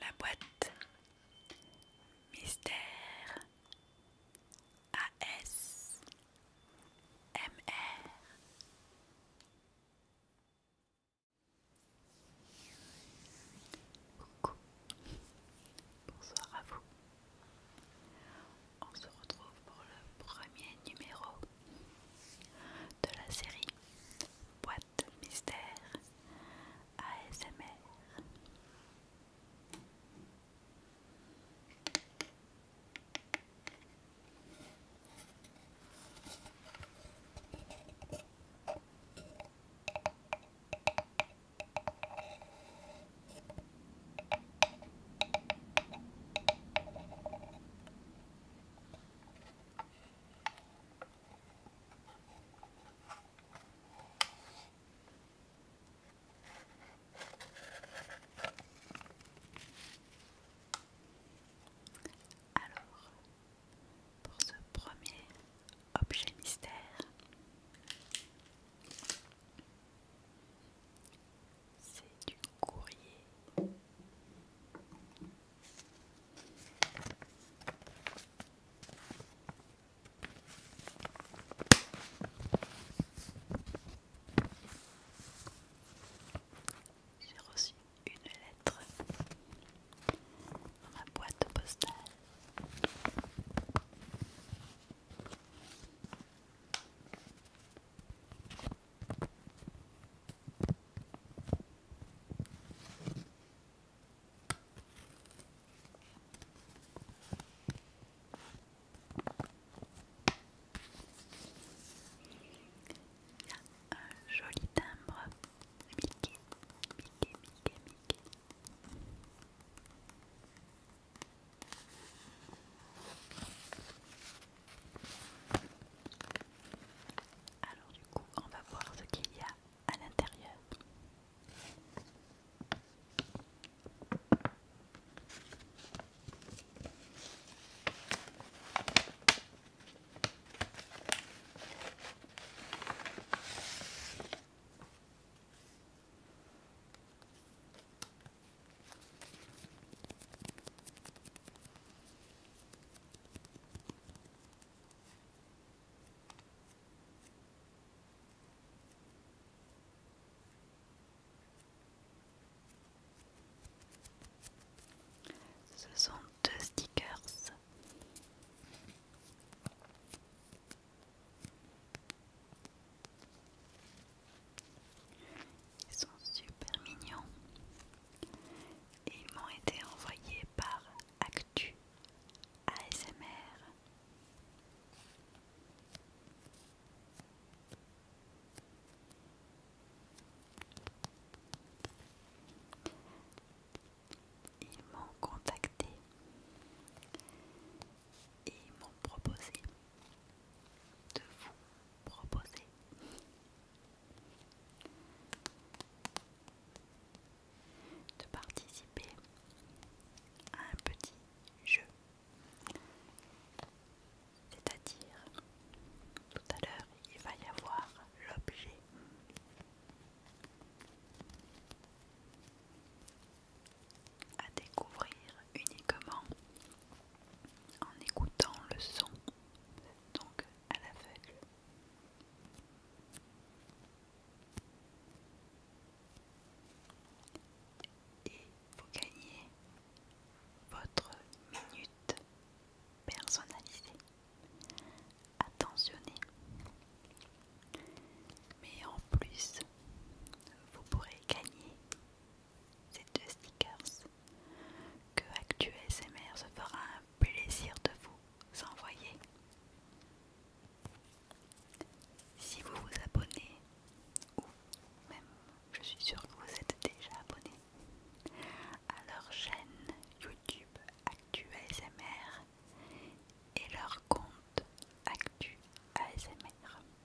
La boîte Mystère AS MR Coucou. Bonsoir à vous. On se retrouve pour le premier numéro de la série Boîte Mystère ASMR. Alors, pour ce premier objet mystère, c'est du courrier. J'ai reçu une lettre dans ma boîte postale. Il y a un joli timbre Mickey, Mickey, Mickey, Mickey. Alors du coup, on va voir ce qu'il y a à l'intérieur. Ce sont deux stickers. Ils sont super mignons. Et ils m'ont été envoyés par Actu ASMR. Ils m'ont contacté et m'ont proposé de vous proposer de participer à un petit jeu. C'est-à-dire, tout à l'heure, il va y avoir l'objet à découvrir uniquement en écoutant le son, donc à l'aveugle. Et vous gagnez votre minute personnalisée, attentionnée. Mais en plus, vous pourrez gagner ces deux stickers, que ActuSMR se fera un plaisir de vous envoyer. Si vous vous abonnez, ou même je suis sûre que vous êtes déjà abonné à leur chaîne YouTube ActuSMR et leur compte ActuASMR.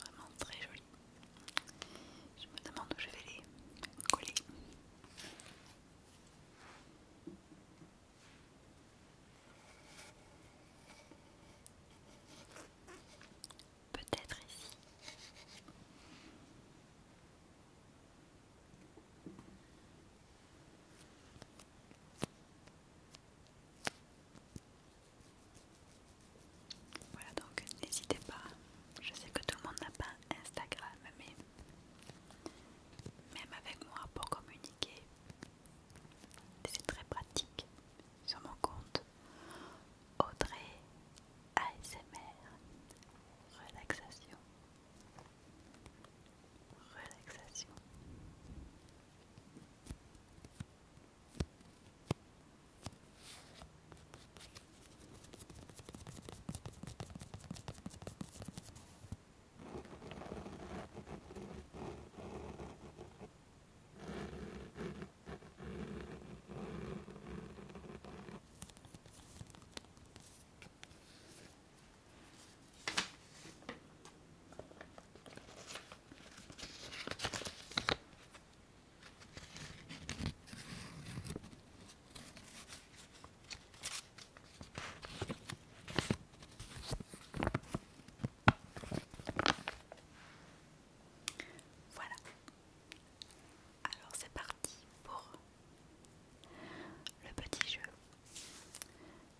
Vraiment très joli. Je me demande où je vais les coller. Peut-être ici. Voilà donc n'hésitez pas. Je sais que tout le monde n'a pas Instagram, mais même avec moi pour communiquer, c'est très pratique. Sur mon compte Audrey ASMR Relaxation relaxation. Voilà. Alors c'est parti pour le petit jeu.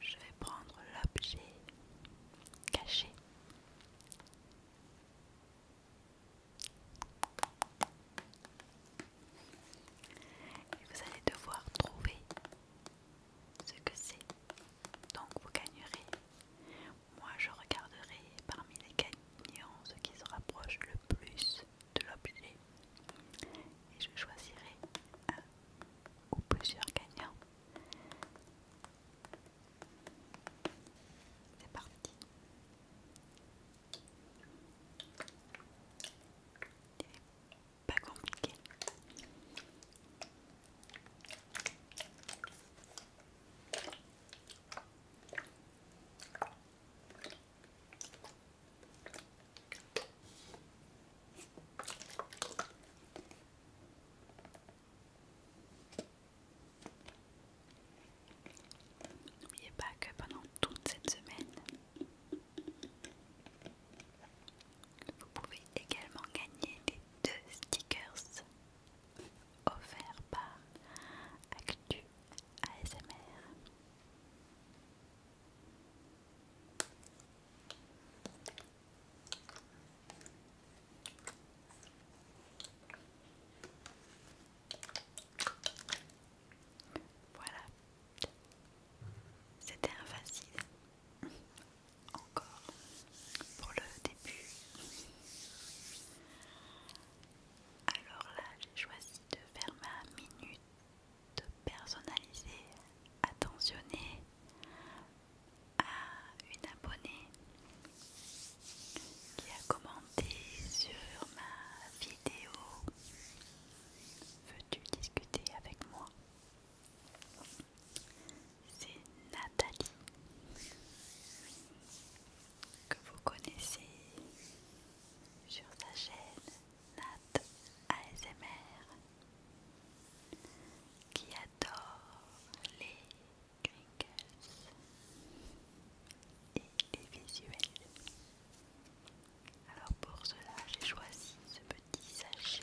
Je vais prendre l'objet caché. Et vous allez devoir trouver ce que c'est. Donc vous gagnerez. Moi je regarderai parmi les gagnants ce qui se rapproche le plus de l'objet. Et je choisirai un ou plusieurs gagnants. C'est parti. Pas compliqué. N'oubliez pas que pendant toute cette semaine, vous pouvez également gagner les deux stickers offerts par Actu ASMR. Voilà, c'était un facile encore pour le début. Alors là, j'ai choisi de faire ma minute de personnalisée, attentionnée à une abonnée qui a commenté sur ma vidéo Veux-tu discuter avec moi C'est Nathalie que vous connaissez sur sa chaîne Nat ASMR qui a j'adore les et les visuels. Alors pour cela, j'ai choisi ce petit sachet.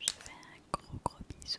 Je fais un gros gros bisou.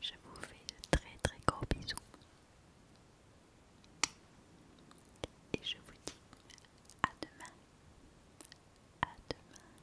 Je vous fais de très très gros bisous. Et je vous dis à demain. À demain.